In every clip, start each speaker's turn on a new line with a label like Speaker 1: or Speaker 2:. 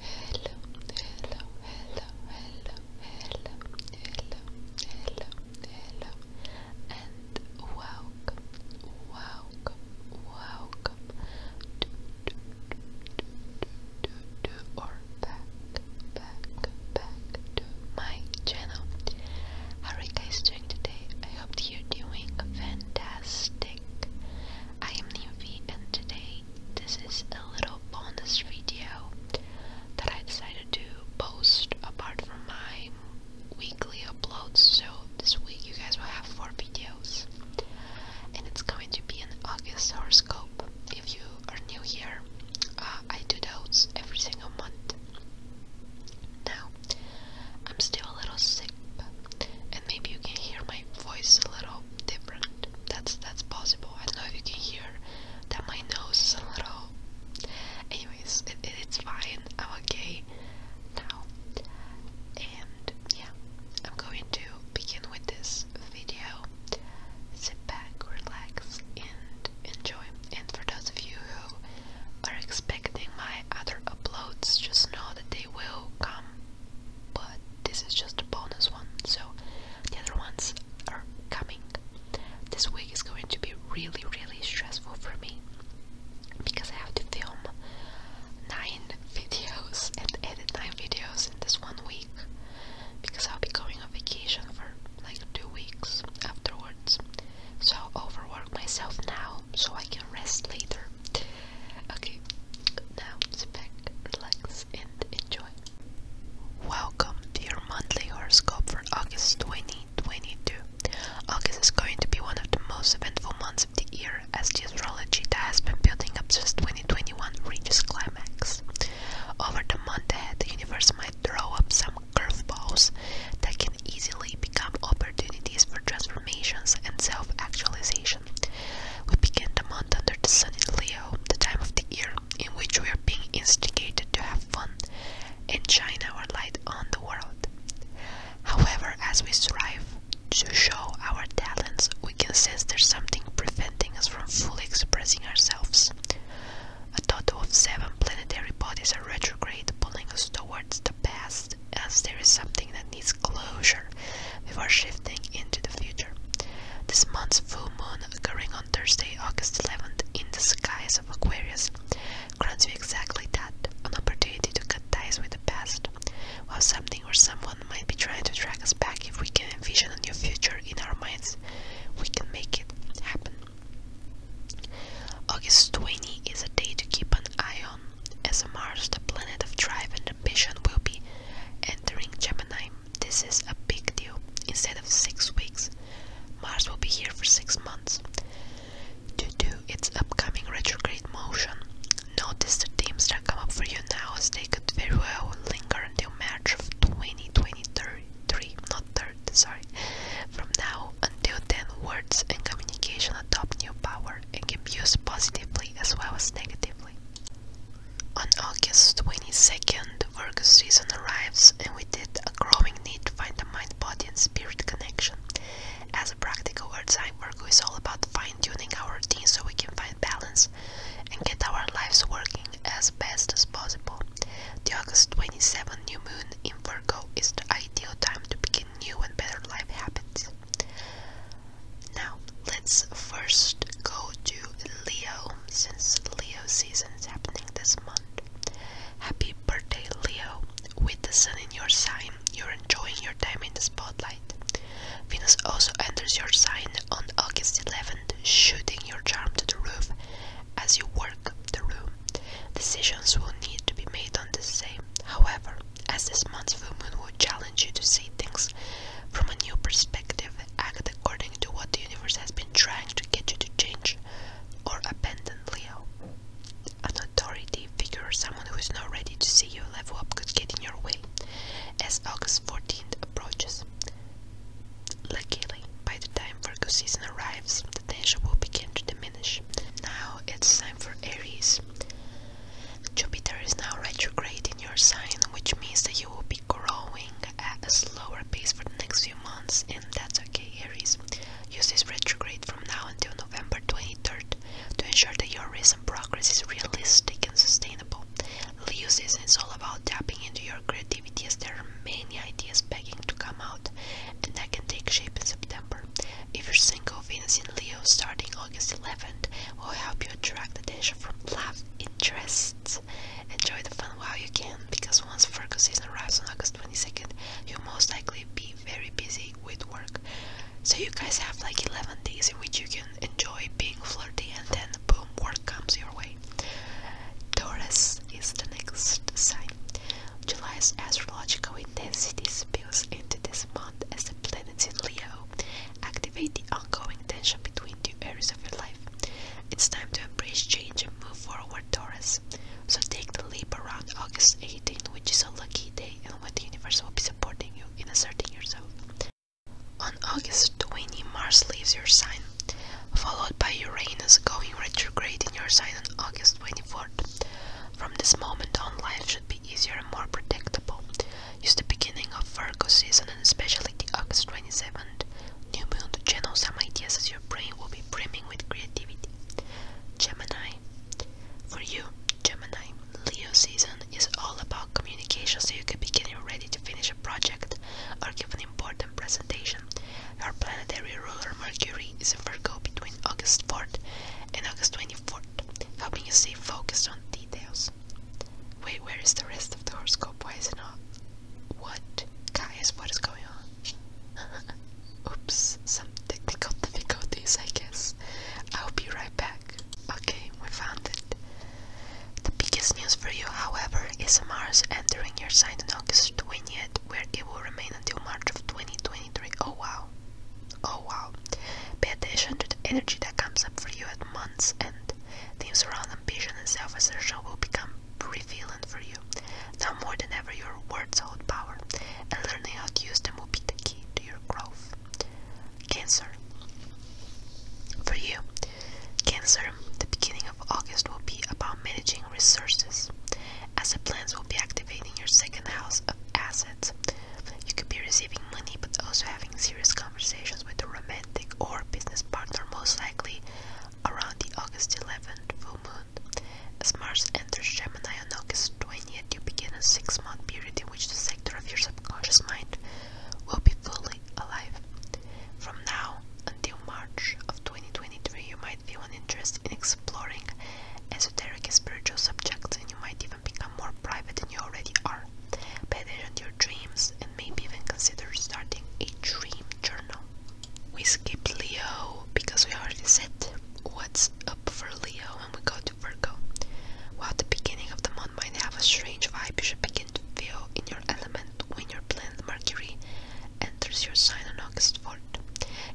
Speaker 1: hello, hello, hello, hello, hello, hello, hello, hello, and welcome, welcome, welcome back, back, back to my channel. How are you guys doing today? I hope you're doing fantastic. I am Newfie and today this is a little bonus video that I decided to post apart from my weekly uploads. So this week you guys will have four videos, and it's going to be an August horoscope. If you are new here, uh, I do those every single month. Now, I'm still a little sick, and maybe you can hear my voice a little different. That's that's possible. I don't know if you can hear that my nose is a little. Anyways, it, it's fine. I'm okay now. And yeah, I'm going to begin with this video. Sit back, relax, and enjoy. And for those of you who are expecting my other uploads, just know that they will come but this is just a bonus one, so the other ones are coming. This week is going to be really, really stressful for me because I have to film nine videos and edit nine videos in this one week because I'll be going on vacation for like two weeks afterwards. So I'll overwork myself now so I can rest later. Okay, now sit back, relax, and enjoy. Welcome to your monthly horoscope for August 2022. August is going to be one of the most eventful months of the year as the astrology that has been building up since 2021 reaches climax. Over the month ahead, the universe might throw up some curveballs that can easily become opportunities for transformations and self actualization. We begin the month under the sun in Leo, the time of the year in which we are being instigated to have fun and shine our light on the world. However, as we strive to show our talents, we can sense there's something preventing us from fully expressing ourselves. A total of seven planetary bodies are retrograde, pulling us towards the past, as there is something that needs closure before shifting into the future. This month's full moon occurring on Thursday, August 11th in the skies of Aquarius grants you exactly that, an opportunity to cut ties with the past. While something or someone might be trying to drag us back, if we can envision a new future in our minds, we can make it happen. August 20th is a day to keep an eye on, as Mars, the planet of drive and ambition, will be Entering Gemini, this is a big deal. Instead of six weeks, Mars will be here for six months. Due to its upcoming retrograde motion, notice the themes that come up for you now as they could very well linger until March of 2023, not 3rd, sorry. From now until then, words and communication adopt new power and can be used positively as well as negatively. On August 22nd, Virgo season arrives, and with it, a growing need to find a mind body and spirit connection. As a practical earth sign, Virgo is all about fine tuning our team so we can find balance and get our lives working as best as possible. The August twenty-seventh new moon in Virgo is the ideal time to begin new and better life habits. Now, let's first go to Leo, since Leo season is happening this month. Happy birthday, Leo! With the sun in your sign, you're enjoying your time in the spotlight. Venus also enters your sign on August 11th, shooting your charm to the roof as you work the room. Decisions will need to be made on the same, However, as this month's full moon will challenge you to see things from a new perspective, act according to what the universe has been trying to get you to change or abandon Leo. An authority figure or someone who is not ready to see you level up could get in your way as August 14th approaches. Luckily, by the time Virgo season arrives, the tension will begin to diminish. Now it's time for Aries. Jupiter is now retrograding your sign, which means that you will be growing at a slower pace for the next few months, and that's okay, Aries. Use this retrograde from now until November 23rd to ensure that your recent progress is realistic and sustainable. Use this, it's all about tapping into your creativity as there are many ideas begging to come out, and that can take shape in September. If you're single, Venus in Leo starting August 11th will help you attract attention from love interests. Enjoy the fun while you can, because once Virgo season arrives on August 22nd, you'll most likely be very busy with work. So you guys have like 11 days in which you can enjoy being flirty and then boom, work comes your way. Taurus is the next sign. July's astrological intensity spills into this month as planets in Leo activate the ongoing tension between two areas of your life. It's time to embrace change and move forward, Taurus. So take the leap around August 18th, which is a lucky day and when the universe will be supporting you in asserting yourself. On August 20, Mars leaves your sign, followed by Uranus going retrograde in your sign on August 24th. From this moment on, life should be be easier and more predictable. Use the beginning of Virgo season and especially the August 27th new moon to channel some ideas as your brain will be brimming with creativity. Gemini. For you, Gemini, Leo season is all about communication so you can be getting ready to finish a project or give an important presentation. Your planetary ruler Mercury is in Virgo between August 4th and August 24th, helping you stay focused on details. Wait, where is the rest of the horoscope? Why is it not? What? Guys, what is going on? Oops, some technical difficulties, I guess. I'll be right back. Okay, we found it. The biggest news for you, however, is Mars entering your sign on August 20th, where it will remain until March of 2023. Oh wow. Oh wow. Pay attention to the energy that comes up for you at month's end. Themes around ambition and self assertion will become prevalent for you. Now more than ever, your words hold power, and learning how to use them will be the key to your growth. Cancer. For you, Cancer, the beginning of August will be about managing resources, as the plans will be activating your second house of assets, you could be receiving money but also having serious conversations with a romantic or business partner, most likely around the August 11th full moon. As Mars enters Gemini on August 20th, you begin a six month period in which the sector of your subconscious mind will be fully alive. From now until March of 2023, you might feel an interest in exploring esoteric spiritual subjects and you might even become more private than you already are. Pay attention your dreams and maybe even consider starting a dream journal. We skip Leo because we already said what's up for Leo and we go to Virgo. While the beginning of the month might have a strange vibe, you should begin to feel in your element when your planet Mercury enters your sign on August 4th.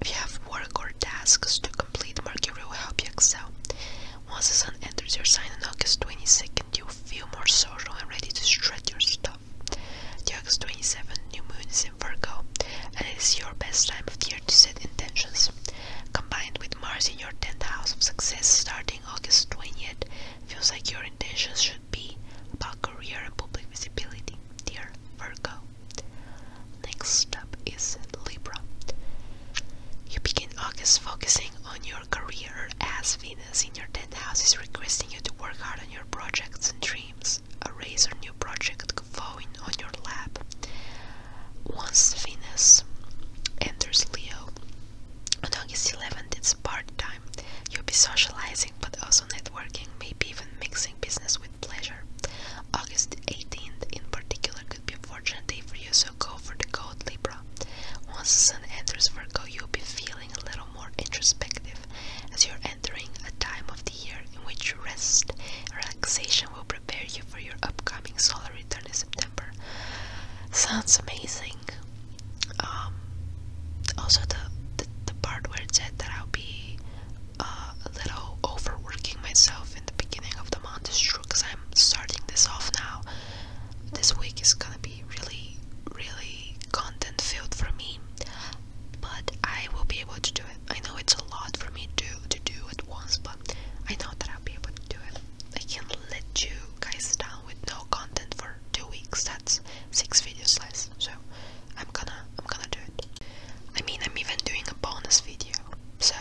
Speaker 1: If you have work or tasks to complete, Mercury will help you excel. Once the sun enters your sign on August 22nd, you'll feel more social and ready to spread your stuff. The August 27th new moon is in Virgo, and it is your best time of year to set intentions. Combined with Mars in your 10th house of success starting August 20th, feels like your intentions should be about career and public visibility, dear Virgo. Next up is Libra. You begin August focusing on your career as Venus in your 10th house is requesting you to work hard on your projects and dreams. A razor new project falling on your lap. Once Venus enters Leo, on August 11th it's part time. You'll be socializing but also networking, maybe even mixing business with pleasure. August 18th in particular be a fortunate day for you, so go for the gold, Libra. Once the sun enters Virgo, you'll be feeling a little more introspective as you're entering a time of the year in which you rest relaxation will prepare you for your upcoming solar return in September. Sounds amazing. Um, also, the, the, part where it said that I'll be uh, a little overworking myself in the beginning of the month is because I'm starting this off now. This week is gonna be really, really content filled for me, but I will be able to do it. I know it's a lot for me to, to do at once, but I know that I'll be able to do it. I can't let you guys down with no content for two weeks. That's six videos less. So I'm gonna I'm gonna do it. I mean I'm even doing a bonus video. So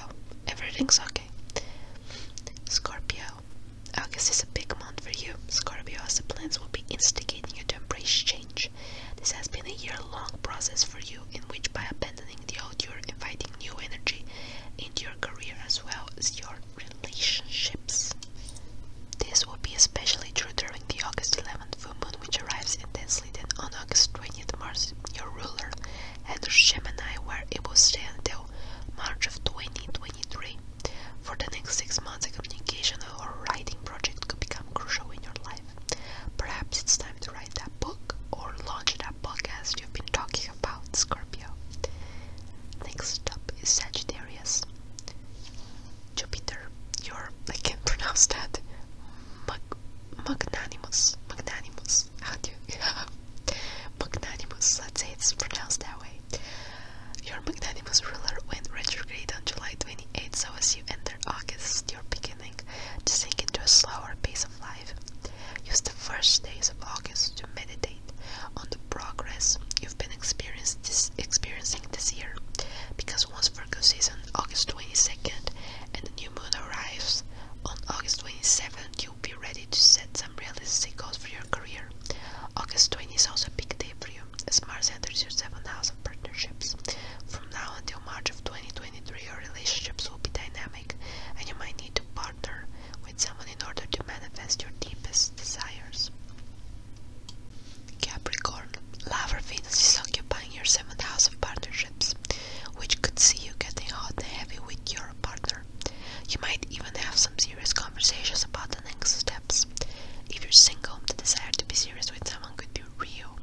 Speaker 1: everything's okay. Okay. Scorpio. August is a big month for you, Scorpio, as the plans will be instigating you to embrace change. This has been a year long process for you, in which by abandoning the old, you're inviting new energy into your career as well as your relationships. This will be especially true during the August 11th full moon, which arrives intensely then on August 20th. Mars, your ruler, and Gemini, were able to stay until March of 2023. For the next six months, a communication or writing project could become crucial in your life. Perhaps it's time to write that book or launch that podcast you've been talking about, Scorpio. Next up is Sagittarius. Jupiter, you're, I can't pronounce that, Mag magnanimous, magnanimous, how do you, Magnanimous, let's say it's pronounced that way. Your magnanimous ruler went retrograde on July 28th, so as you enter August, you're beginning to sink into a slower pace of life. Use the first days of August to meditate on the progress you've been experiencing this year, because once Virgo season, August 22nd, and the new moon arrives on August 27th, you be ready to set some realistic goals for your career. August 20 is also a big day for you, as Mars enters your seventh house of partnerships. From now until March of 2023, your relationships will be dynamic, and you might need to partner with someone in order to manifest your deepest desires. Capricorn, Love or Venus is occupying your seventh house of partnerships, which could see you getting hot and heavy with your partner you might even have some serious conversations about the next steps. If you're single, the desire to be serious with someone could be real.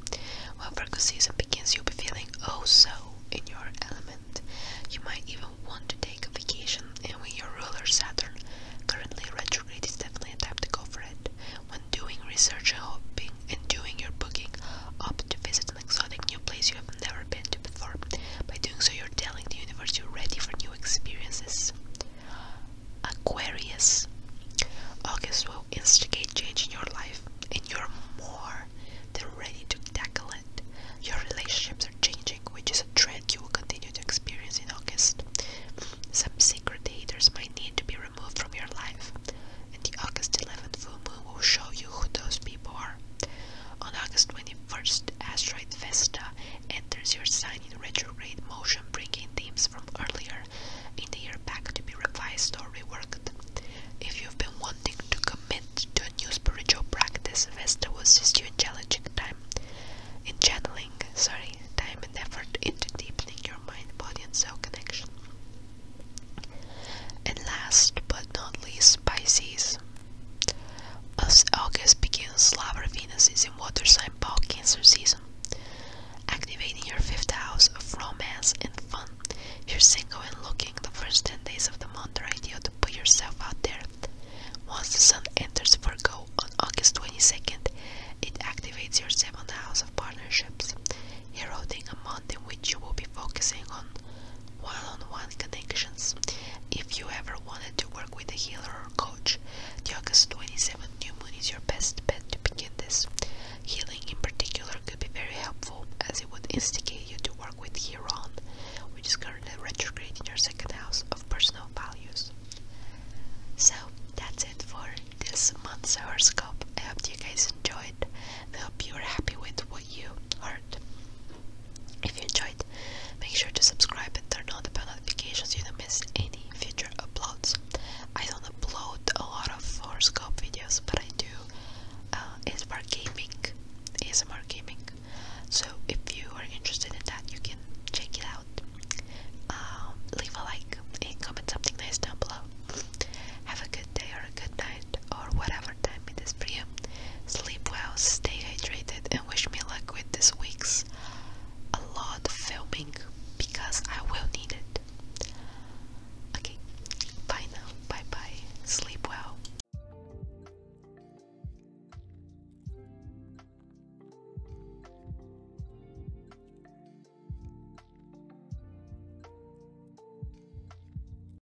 Speaker 1: When Virgo season begins, you'll be feeling oh so in your element. You might even want to take a vacation, and when your ruler Saturn, currently retrograde, is definitely a time to go for it. When doing research and hoping and doing your booking, up to visit an exotic new place you have never been to before. By doing so, you're telling the universe you're ready for new experiences. Aquarius. August will instigate change in your life, and you're more than ready to tackle it. Your relationships are changing, which is a trend you will continue to experience in August. Some secret haters might need to be removed from your life, and the August 11th full moon will show you who those people are. On August 21st, asteroid Vesta enters your sign in retrograde motion, bringing themes from earlier in the year back to be revised or reworked. If you've been wanting to commit to a new spiritual practice, Vesta will assist you in challenging time, in channeling, sorry, time and effort into deepening your mind, body, and soul connection. And last but not least, Pisces. As August begins, Labra Venus is in water sign Paul Cancer season, activating your fifth house of romance and fun. If you're single and looking, the first 10 days of the month are ideal to put yourself out there. Once the sun enters Virgo on August 22nd, it activates your seventh house of partnerships, heralding a month in which you will be focusing on one-on-one connections. If you ever wanted to work with a healer or coach, the August twenty-seventh new moon is your best bet to begin this. Healing in particular could be very helpful as it would instigate you to work with Chiron, which is currently retrograde in your second house of personal values. So that's it for this month's horoscope. I hope you guys enjoyed. I hope you are happy with what you heard. If you enjoyed, make sure to subscribe and turn on the bell notifications so you don't miss any future uploads. I don't upload a lot of scope videos, but I do uh, ASMR gaming, ASMR gaming. So if you are interested in that, you can check it out. Um, leave a like and comment something nice down below. Have a good day or a good night or whatever time it is for Sleep well, stay hydrated, and wish me luck with this week's a lot filming because I will need it. Okay, bye now. Bye bye. Sleep well.